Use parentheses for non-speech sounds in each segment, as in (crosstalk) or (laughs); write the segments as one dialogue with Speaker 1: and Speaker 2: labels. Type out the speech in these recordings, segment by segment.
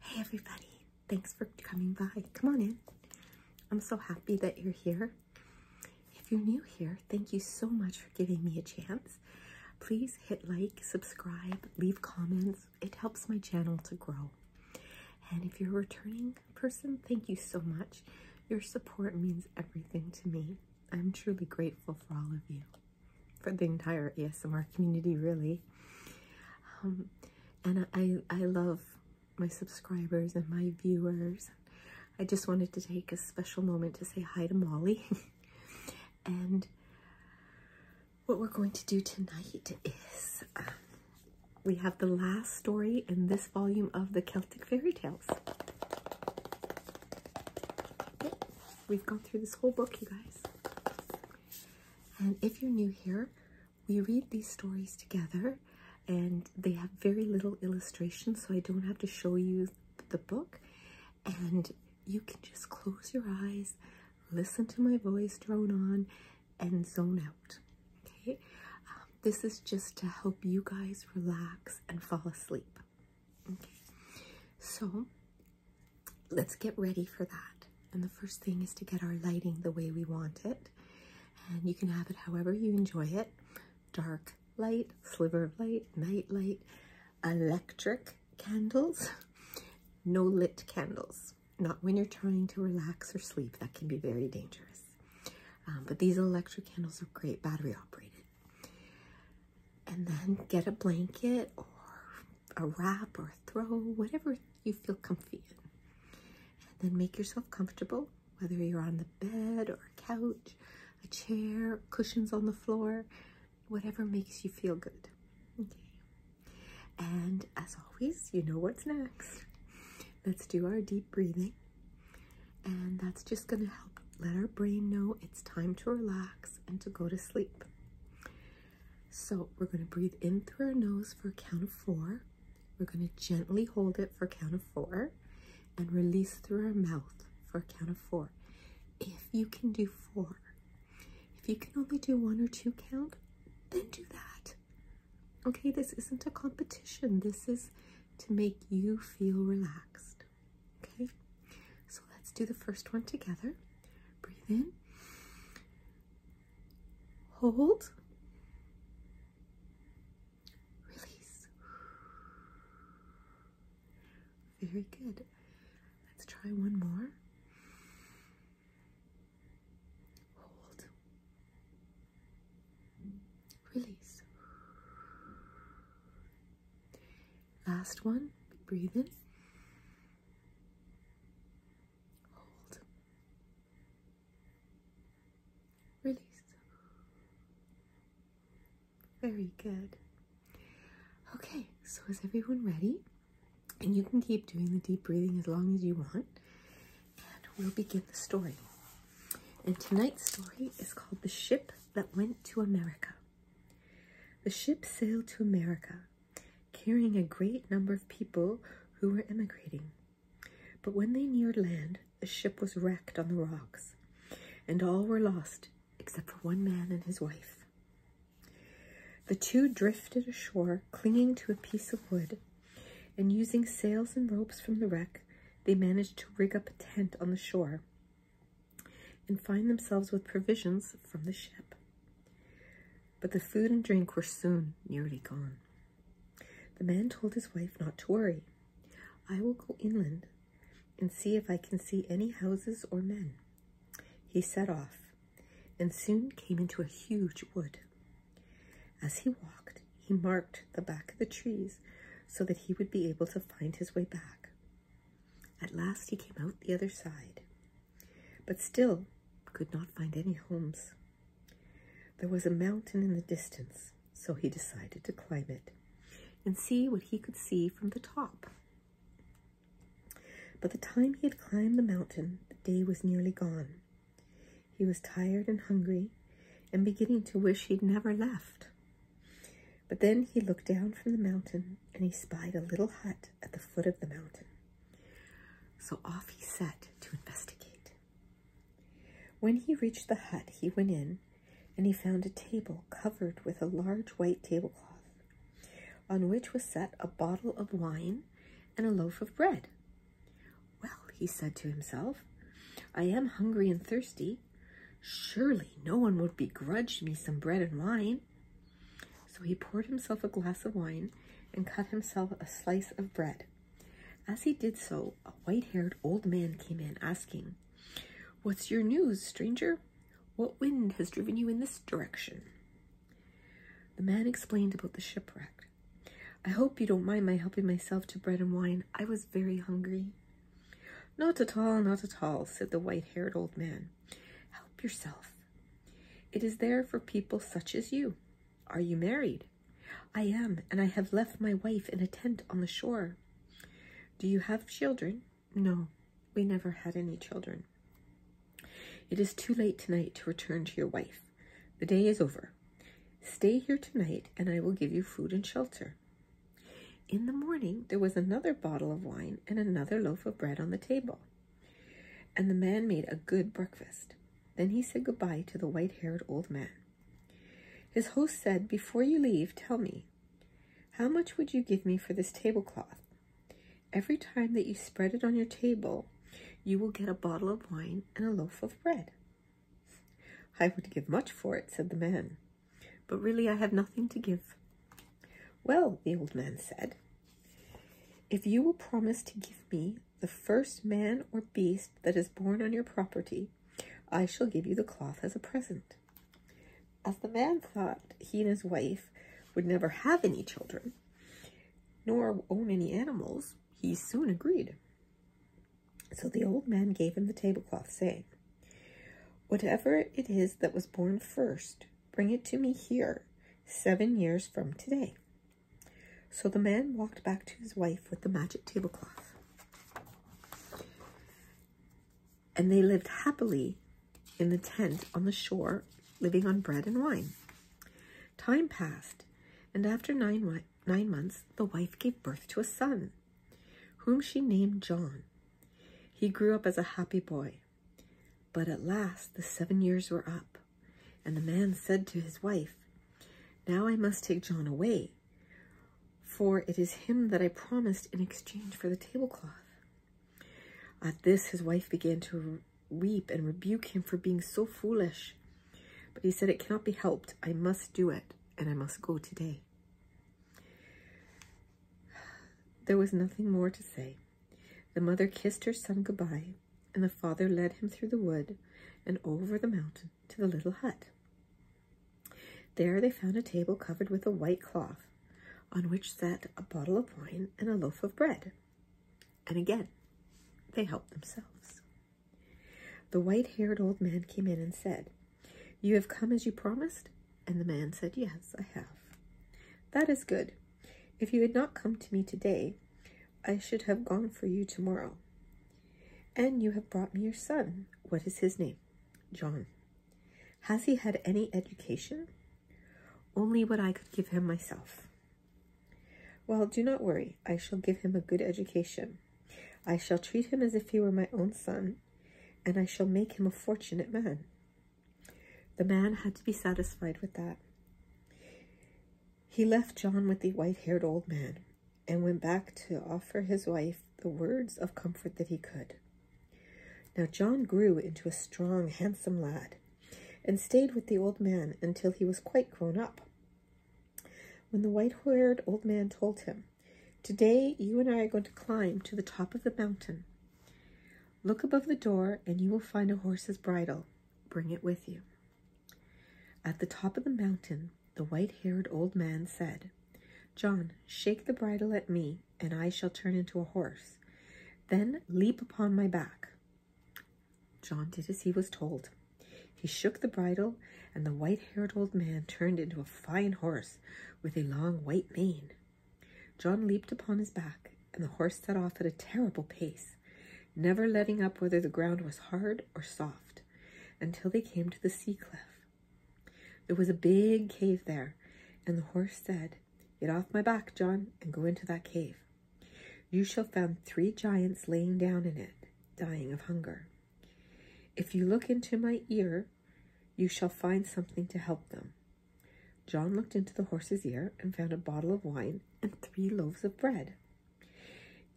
Speaker 1: Hey everybody, thanks for coming by. Come on in. I'm so happy that you're here. If you're new here, thank you so much for giving me a chance. Please hit like, subscribe, leave comments. It helps my channel to grow. And if you're a returning person, thank you so much. Your support means everything to me. I'm truly grateful for all of you for the entire ASMR community, really. Um, and I, I love my subscribers and my viewers. I just wanted to take a special moment to say hi to Molly. (laughs) and what we're going to do tonight is um, we have the last story in this volume of the Celtic Fairy Tales. We've gone through this whole book, you guys. And if you're new here, we read these stories together and they have very little illustration, so I don't have to show you the book. And you can just close your eyes, listen to my voice drone on, and zone out. Okay, um, this is just to help you guys relax and fall asleep. Okay, so let's get ready for that. And the first thing is to get our lighting the way we want it. And you can have it however you enjoy it. Dark light, sliver of light, night light, electric candles, no lit candles. Not when you're trying to relax or sleep. That can be very dangerous. Um, but these electric candles are great battery operated and then get a blanket or a wrap or a throw, whatever you feel comfy in. And then make yourself comfortable, whether you're on the bed or a couch, a chair, cushions on the floor, whatever makes you feel good. Okay. And as always, you know what's next. Let's do our deep breathing. And that's just going to help let our brain know it's time to relax and to go to sleep. So we're going to breathe in through our nose for a count of four. We're going to gently hold it for a count of four and release through our mouth for a count of four. If you can do four, if you can only do one or two count, then do that. Okay, this isn't a competition. This is to make you feel relaxed. Okay, so let's do the first one together. Breathe in, hold, release. Very good. Let's try one more. Hold, release. Last one, breathe in. Hold. Release. Very good. Okay, so is everyone ready? And you can keep doing the deep breathing as long as you want. And we'll begin the story. And tonight's story is called The Ship That Went to America. The ship sailed to America, carrying a great number of people who were emigrating. But when they neared land, the ship was wrecked on the rocks, and all were lost except for one man and his wife. The two drifted ashore, clinging to a piece of wood, and using sails and ropes from the wreck, they managed to rig up a tent on the shore and find themselves with provisions from the ship. But the food and drink were soon nearly gone. The man told his wife not to worry. I will go inland and see if I can see any houses or men. He set off and soon came into a huge wood. As he walked, he marked the back of the trees so that he would be able to find his way back. At last he came out the other side, but still could not find any homes. There was a mountain in the distance, so he decided to climb it and see what he could see from the top. By the time he had climbed the mountain, the day was nearly gone. He was tired and hungry and beginning to wish he'd never left. But then he looked down from the mountain and he spied a little hut at the foot of the mountain. So off he set to investigate. When he reached the hut, he went in and he found a table covered with a large white tablecloth on which was set a bottle of wine and a loaf of bread. Well, he said to himself, I am hungry and thirsty. Surely no one would begrudge me some bread and wine. So he poured himself a glass of wine and cut himself a slice of bread. As he did so, a white-haired old man came in, asking, What's your news, stranger? What wind has driven you in this direction? The man explained about the shipwreck. I hope you don't mind my helping myself to bread and wine. I was very hungry. Not at all, not at all, said the white-haired old man. Help yourself. It is there for people such as you. Are you married? I am, and I have left my wife in a tent on the shore. Do you have children? No, we never had any children. It is too late tonight to return to your wife. The day is over. Stay here tonight, and I will give you food and shelter. In the morning, there was another bottle of wine and another loaf of bread on the table, and the man made a good breakfast. Then he said good-bye to the white haired old man. His host said, Before you leave, tell me, how much would you give me for this tablecloth? Every time that you spread it on your table, you will get a bottle of wine and a loaf of bread. I would give much for it, said the man but really I have nothing to give. Well, the old man said, if you will promise to give me the first man or beast that is born on your property, I shall give you the cloth as a present. As the man thought he and his wife would never have any children, nor own any animals, he soon agreed. So the old man gave him the tablecloth, saying, Whatever it is that was born first, bring it to me here, seven years from today. So the man walked back to his wife with the magic tablecloth. And they lived happily in the tent on the shore, living on bread and wine. Time passed, and after nine, nine months, the wife gave birth to a son, whom she named John. He grew up as a happy boy. But at last the seven years were up, and the man said to his wife, Now I must take John away, for it is him that I promised in exchange for the tablecloth. At this his wife began to weep and rebuke him for being so foolish. But he said, It cannot be helped. I must do it, and I must go today. There was nothing more to say. The mother kissed her son goodbye, and the father led him through the wood and over the mountain to the little hut. There they found a table covered with a white cloth, on which sat a bottle of wine and a loaf of bread. And again, they helped themselves. The white-haired old man came in and said, you have come as you promised? And the man said, Yes, I have. That is good. If you had not come to me today, I should have gone for you tomorrow. And you have brought me your son. What is his name? John. Has he had any education? Only what I could give him myself. Well, do not worry. I shall give him a good education. I shall treat him as if he were my own son and I shall make him a fortunate man. The man had to be satisfied with that. He left John with the white haired old man and went back to offer his wife the words of comfort that he could. Now John grew into a strong, handsome lad and stayed with the old man until he was quite grown up. When the white haired old man told him Today, you and I are going to climb to the top of the mountain. Look above the door, and you will find a horse's bridle. Bring it with you. At the top of the mountain, the white haired old man said, John, shake the bridle at me, and I shall turn into a horse. Then leap upon my back. John did as he was told. He shook the bridle, and the white haired old man turned into a fine horse with a long white mane. John leaped upon his back, and the horse set off at a terrible pace, never letting up whether the ground was hard or soft, until they came to the sea cliff. There was a big cave there, and the horse said, Get off my back, John, and go into that cave. You shall find three giants lying down in it, dying of hunger. If you look into my ear you shall find something to help them. John looked into the horse's ear and found a bottle of wine and three loaves of bread.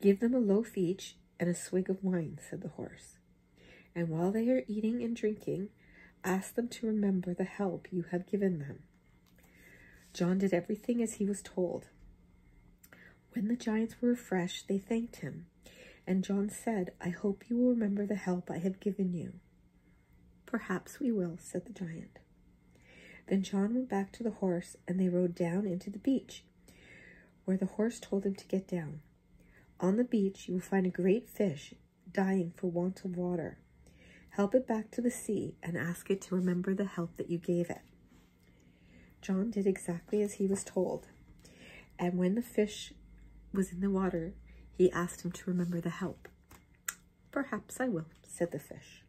Speaker 1: Give them a loaf each and a swig of wine, said the horse. And while they are eating and drinking, ask them to remember the help you have given them. John did everything as he was told. When the giants were refreshed, they thanked him and John said, I hope you will remember the help I have given you. Perhaps we will, said the giant. Then John went back to the horse, and they rode down into the beach, where the horse told him to get down. On the beach, you will find a great fish dying for want of water. Help it back to the sea and ask it to remember the help that you gave it. John did exactly as he was told, and when the fish was in the water, he asked him to remember the help. Perhaps I will, said the fish.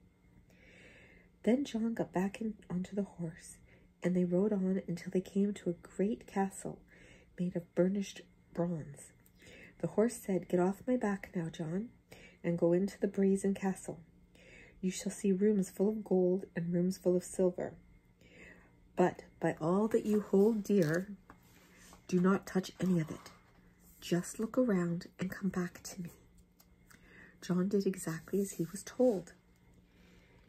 Speaker 1: Then John got back in, onto the horse, and they rode on until they came to a great castle made of burnished bronze. The horse said, Get off my back now, John, and go into the brazen castle. You shall see rooms full of gold and rooms full of silver, but by all that you hold dear, do not touch any of it. Just look around and come back to me. John did exactly as he was told.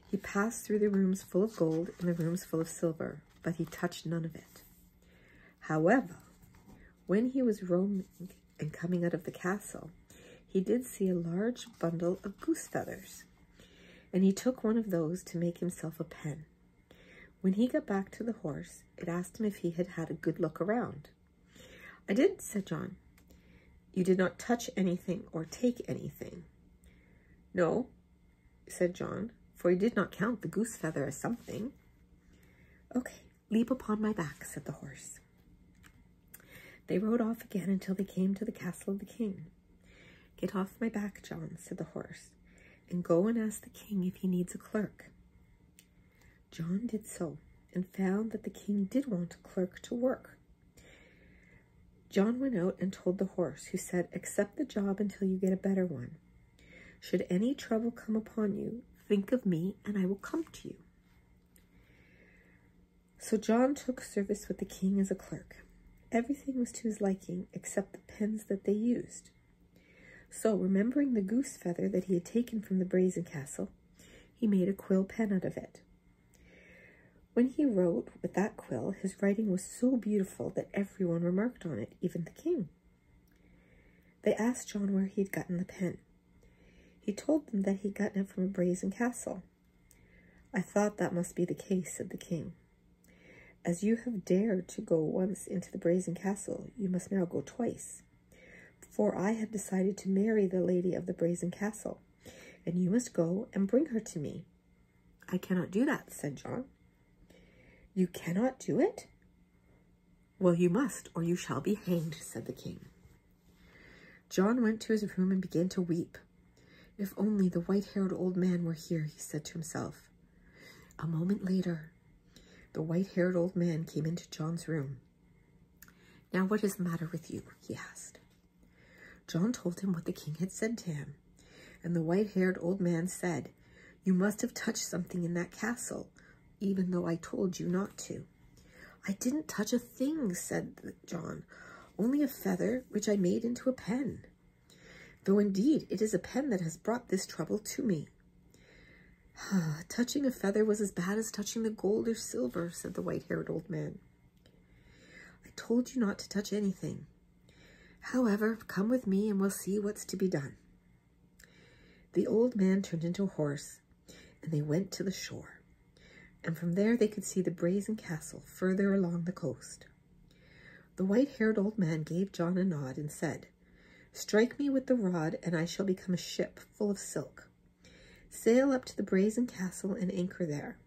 Speaker 1: He passed through the rooms full of gold and the rooms full of silver, but he touched none of it. However, when he was roaming and coming out of the castle, he did see a large bundle of goose feathers and he took one of those to make himself a pen. When he got back to the horse, it asked him if he had had a good look around. I did, said John. You did not touch anything or take anything. No, said John, for he did not count the goose feather as something. Okay, leap upon my back, said the horse. They rode off again until they came to the castle of the king. Get off my back, John, said the horse, and go and ask the king if he needs a clerk. John did so, and found that the king did want a clerk to work. John went out and told the horse, who said, Accept the job until you get a better one. Should any trouble come upon you, think of me, and I will come to you. So John took service with the king as a clerk. Everything was to his liking except the pens that they used. So, remembering the goose feather that he had taken from the brazen castle, he made a quill pen out of it. When he wrote with that quill, his writing was so beautiful that everyone remarked on it, even the king. They asked John where he had gotten the pen. He told them that he had gotten it from a brazen castle. I thought that must be the case, said the king. As you have dared to go once into the brazen castle, you must now go twice. For I have decided to marry the lady of the brazen castle, and you must go and bring her to me. I cannot do that, said John. You cannot do it? Well, you must, or you shall be hanged, said the king. John went to his room and began to weep. If only the white haired old man were here, he said to himself. A moment later, the white haired old man came into John's room. Now, what is the matter with you? he asked. John told him what the king had said to him, and the white haired old man said, You must have touched something in that castle, even though I told you not to. I didn't touch a thing, said John, only a feather which I made into a pen. Though indeed it is a pen that has brought this trouble to me. Ah, touching a feather was as bad as touching the gold or silver, said the white haired old man. I told you not to touch anything. However, come with me and we'll see what's to be done. The old man turned into a horse and they went to the shore, and from there they could see the brazen castle further along the coast. The white haired old man gave John a nod and said, Strike me with the rod, and I shall become a ship full of silk. Sail up to the brazen castle and anchor there,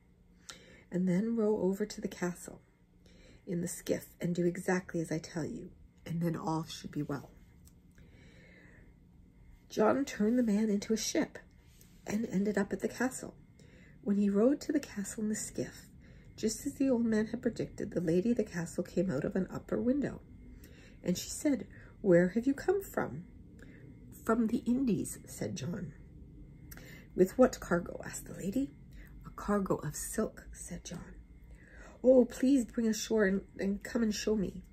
Speaker 1: and then row over to the castle in the skiff and do exactly as I tell you, and then all should be well. John turned the man into a ship and ended up at the castle. When he rowed to the castle in the skiff, just as the old man had predicted, the lady of the castle came out of an upper window, and she said, Where have you come from? From the Indies, said John. With what cargo? asked the lady. A cargo of silk, said John. Oh, please bring ashore and, and come and show me,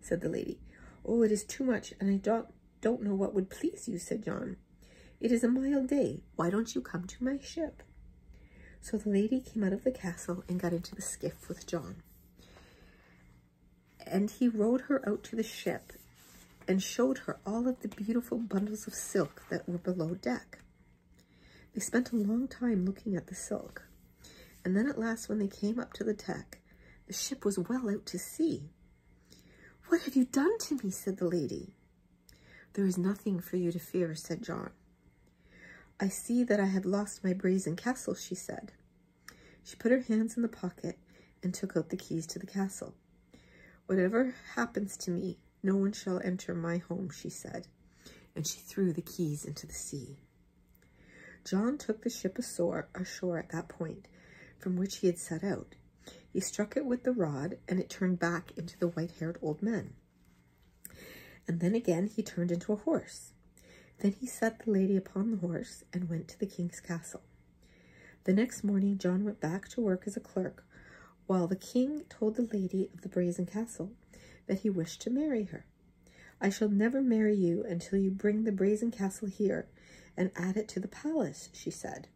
Speaker 1: said the lady. Oh, it is too much, and I don't, don't know what would please you, said John. It is a mild day. Why don't you come to my ship? So the lady came out of the castle and got into the skiff with John. And he rowed her out to the ship and showed her all of the beautiful bundles of silk that were below deck. They spent a long time looking at the silk. And then at last, when they came up to the deck, the ship was well out to sea. What have you done to me? said the lady. There is nothing for you to fear, said John. I see that I have lost my brazen castle, she said. She put her hands in the pocket and took out the keys to the castle. Whatever happens to me, no one shall enter my home, she said, and she threw the keys into the sea. John took the ship ashore, at that point from which he had set out, he struck it with the rod, and it turned back into the white-haired old man. And then again he turned into a horse. Then he set the lady upon the horse and went to the king's castle. The next morning John went back to work as a clerk, while the king told the lady of the brazen castle that he wished to marry her. I shall never marry you until you bring the brazen castle here and add it to the palace, she said.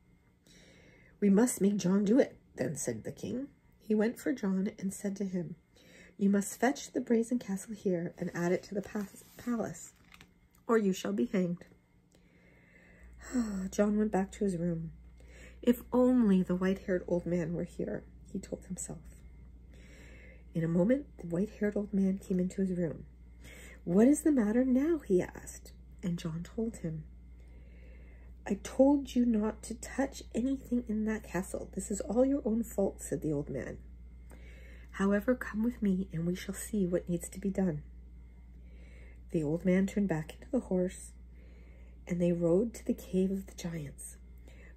Speaker 1: We must make John do it, then said the king. He went for John and said to him, You must fetch the brazen castle here and add it to the palace, or you shall be hanged. (sighs) John went back to his room. If only the white-haired old man were here, he told himself. In a moment, the white-haired old man came into his room. What is the matter now? he asked, and John told him. I told you not to touch anything in that castle. This is all your own fault, said the old man. However, come with me, and we shall see what needs to be done. The old man turned back into the horse, and they rode to the cave of the giants.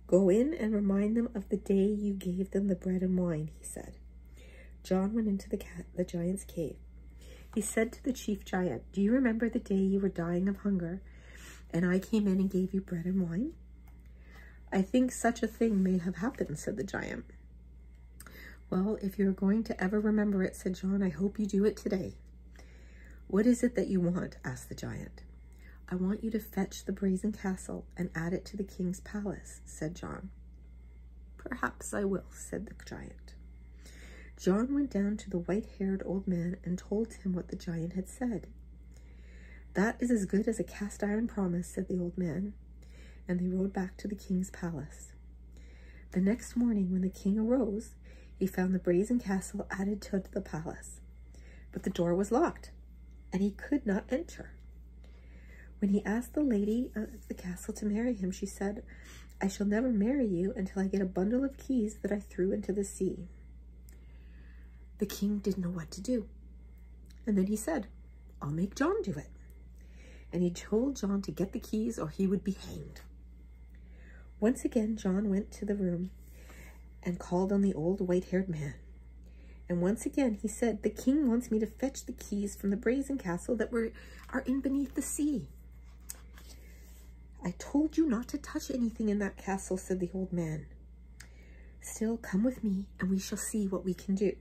Speaker 1: Go in and remind them of the day you gave them the bread and wine, he said. John went into the, giant's cave. He said to the chief giant, Do you remember the day you were dying of hunger and I came in and gave you bread and wine? I think such a thing may have happened, said the giant. Well, if you're going to ever remember it, said John, I hope you do it today. What is it that you want? asked the giant. I want you to fetch the brazen castle and add it to the king's palace, said John. Perhaps I will, said the giant. John went down to the white-haired old man and told him what the giant had said. That is as good as a cast-iron promise, said the old man, and they rode back to the king's palace. The next morning, when the king arose, he found the brazen castle added to the palace, but the door was locked, and he could not enter. When he asked the lady of the castle to marry him, she said, I shall never marry you until I get a bundle of keys that I threw into the sea. The king didn't know what to do. And then he said, I'll make John do it. And he told John to get the keys or he would be hanged. Once again, John went to the room and called on the old white-haired man. And once again, he said, the king wants me to fetch the keys from the brazen castle that were are in beneath the sea. I told you not to touch anything in that castle, said the old man. Still, come with me, and we shall see what we can do.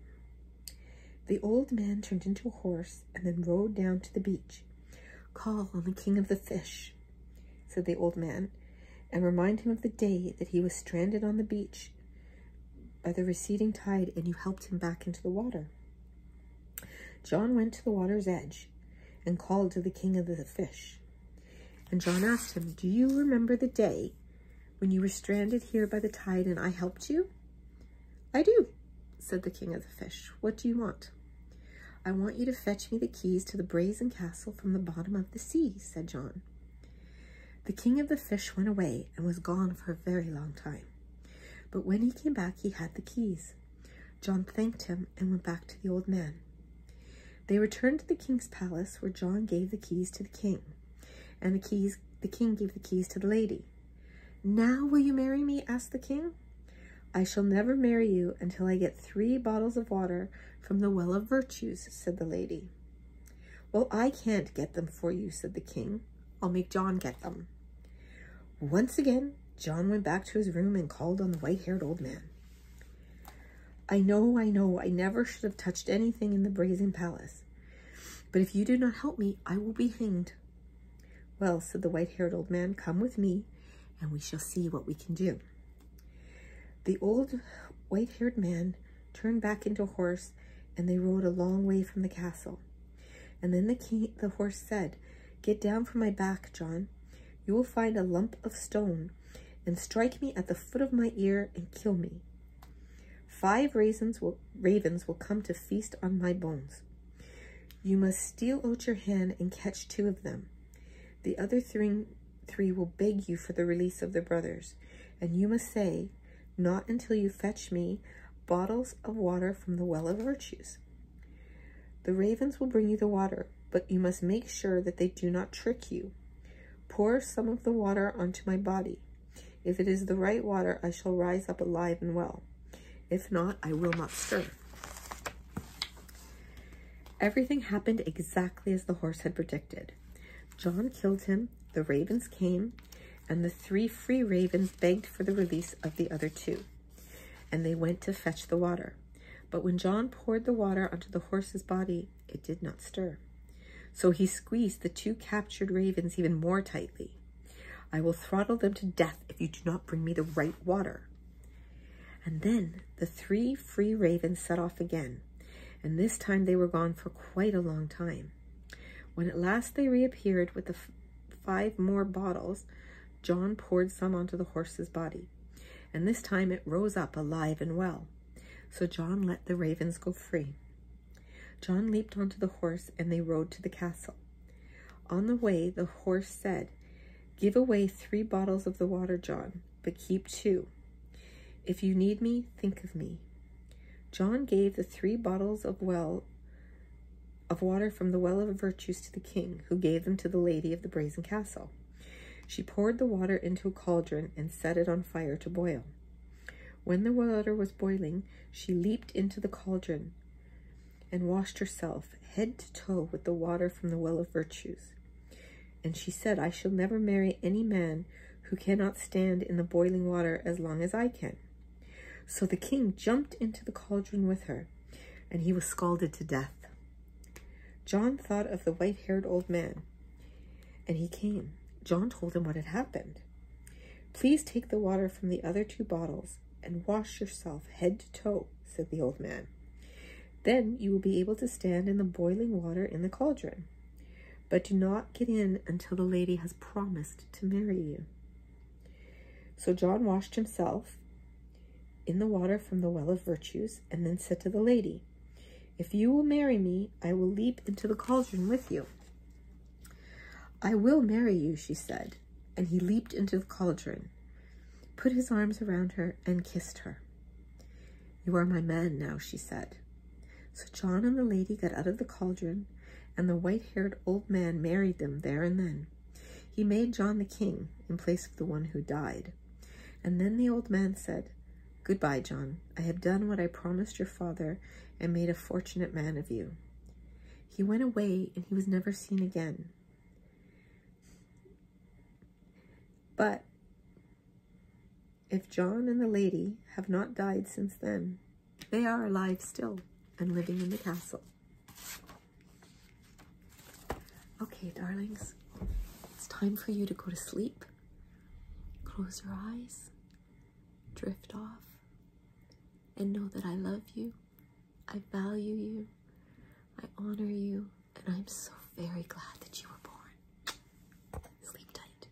Speaker 1: The old man turned into a horse and then rode down to the beach. Call on the king of the fish, said the old man, and remind him of the day that he was stranded on the beach by the receding tide and you helped him back into the water. John went to the water's edge and called to the king of the fish. And John asked him, Do you remember the day when you were stranded here by the tide and I helped you? I do, said the king of the fish. What do you want? I want you to fetch me the keys to the brazen castle from the bottom of the sea, said John. The king of the fish went away and was gone for a very long time. But when he came back, he had the keys. John thanked him and went back to the old man. They returned to the king's palace, where John gave the keys to the king, and the keys the king gave the keys to the lady. Now will you marry me? asked the king. I shall never marry you until I get three bottles of water from the well of virtues, said the lady. Well, I can't get them for you, said the king, I'll make John get them. Once again, John went back to his room and called on the white-haired old man. I know, I know, I never should have touched anything in the brazen palace. But if you do not help me, I will be hanged. Well, said the white-haired old man, come with me, and we shall see what we can do. The old white-haired man turned back into a horse, and they rode a long way from the castle. And then the, king, the horse said, Get down from my back, John. You will find a lump of stone, and strike me at the foot of my ear and kill me. Five ravens will come to feast on my bones. You must steal out your hand and catch two of them. The other three, three will beg you for the release of their brothers, and you must say, not until you fetch me bottles of water from the well of virtues. The ravens will bring you the water, but you must make sure that they do not trick you. Pour some of the water onto my body. If it is the right water, I shall rise up alive and well. If not, I will not stir. Everything happened exactly as the horse had predicted. John killed him, the ravens came, and the three free ravens begged for the release of the other two. And they went to fetch the water. But when John poured the water onto the horse's body, it did not stir. So he squeezed the two captured ravens even more tightly. I will throttle them to death if you do not bring me the right water. And then the three free ravens set off again, and this time they were gone for quite a long time. When at last they reappeared with the five more bottles, John poured some onto the horse's body, and this time it rose up alive and well. So John let the ravens go free. John leaped onto the horse, and they rode to the castle. On the way, the horse said, Give away three bottles of the water, John, but keep two. If you need me, think of me. John gave the three bottles of well of water from the well of virtues to the king, who gave them to the lady of the brazen castle. She poured the water into a cauldron and set it on fire to boil. When the water was boiling, she leaped into the cauldron and washed herself head to toe with the water from the well of virtues. And she said, I shall never marry any man who cannot stand in the boiling water as long as I can. So the king jumped into the cauldron with her, and he was scalded to death. John thought of the white-haired old man, and he came. John told him what had happened. Please take the water from the other two bottles and wash yourself head to toe, said the old man. Then you will be able to stand in the boiling water in the cauldron. But do not get in until the lady has promised to marry you. So John washed himself in the water from the well of virtues, and then said to the lady, If you will marry me, I will leap into the cauldron with you. I will marry you, she said, and he leaped into the cauldron, put his arms around her, and kissed her. You are my man now, she said. So John and the lady got out of the cauldron, and the white haired old man married them there and then. He made John the king in place of the one who died. And then the old man said, Goodbye, John. I have done what I promised your father and made a fortunate man of you. He went away and he was never seen again. But if John and the lady have not died since then, they are alive still and living in the castle. Okay, darlings, it's time for you to go to sleep. Close your eyes, drift off, and know that I love you, I value you, I honor you, and I'm so very glad that you were born. Sleep tight.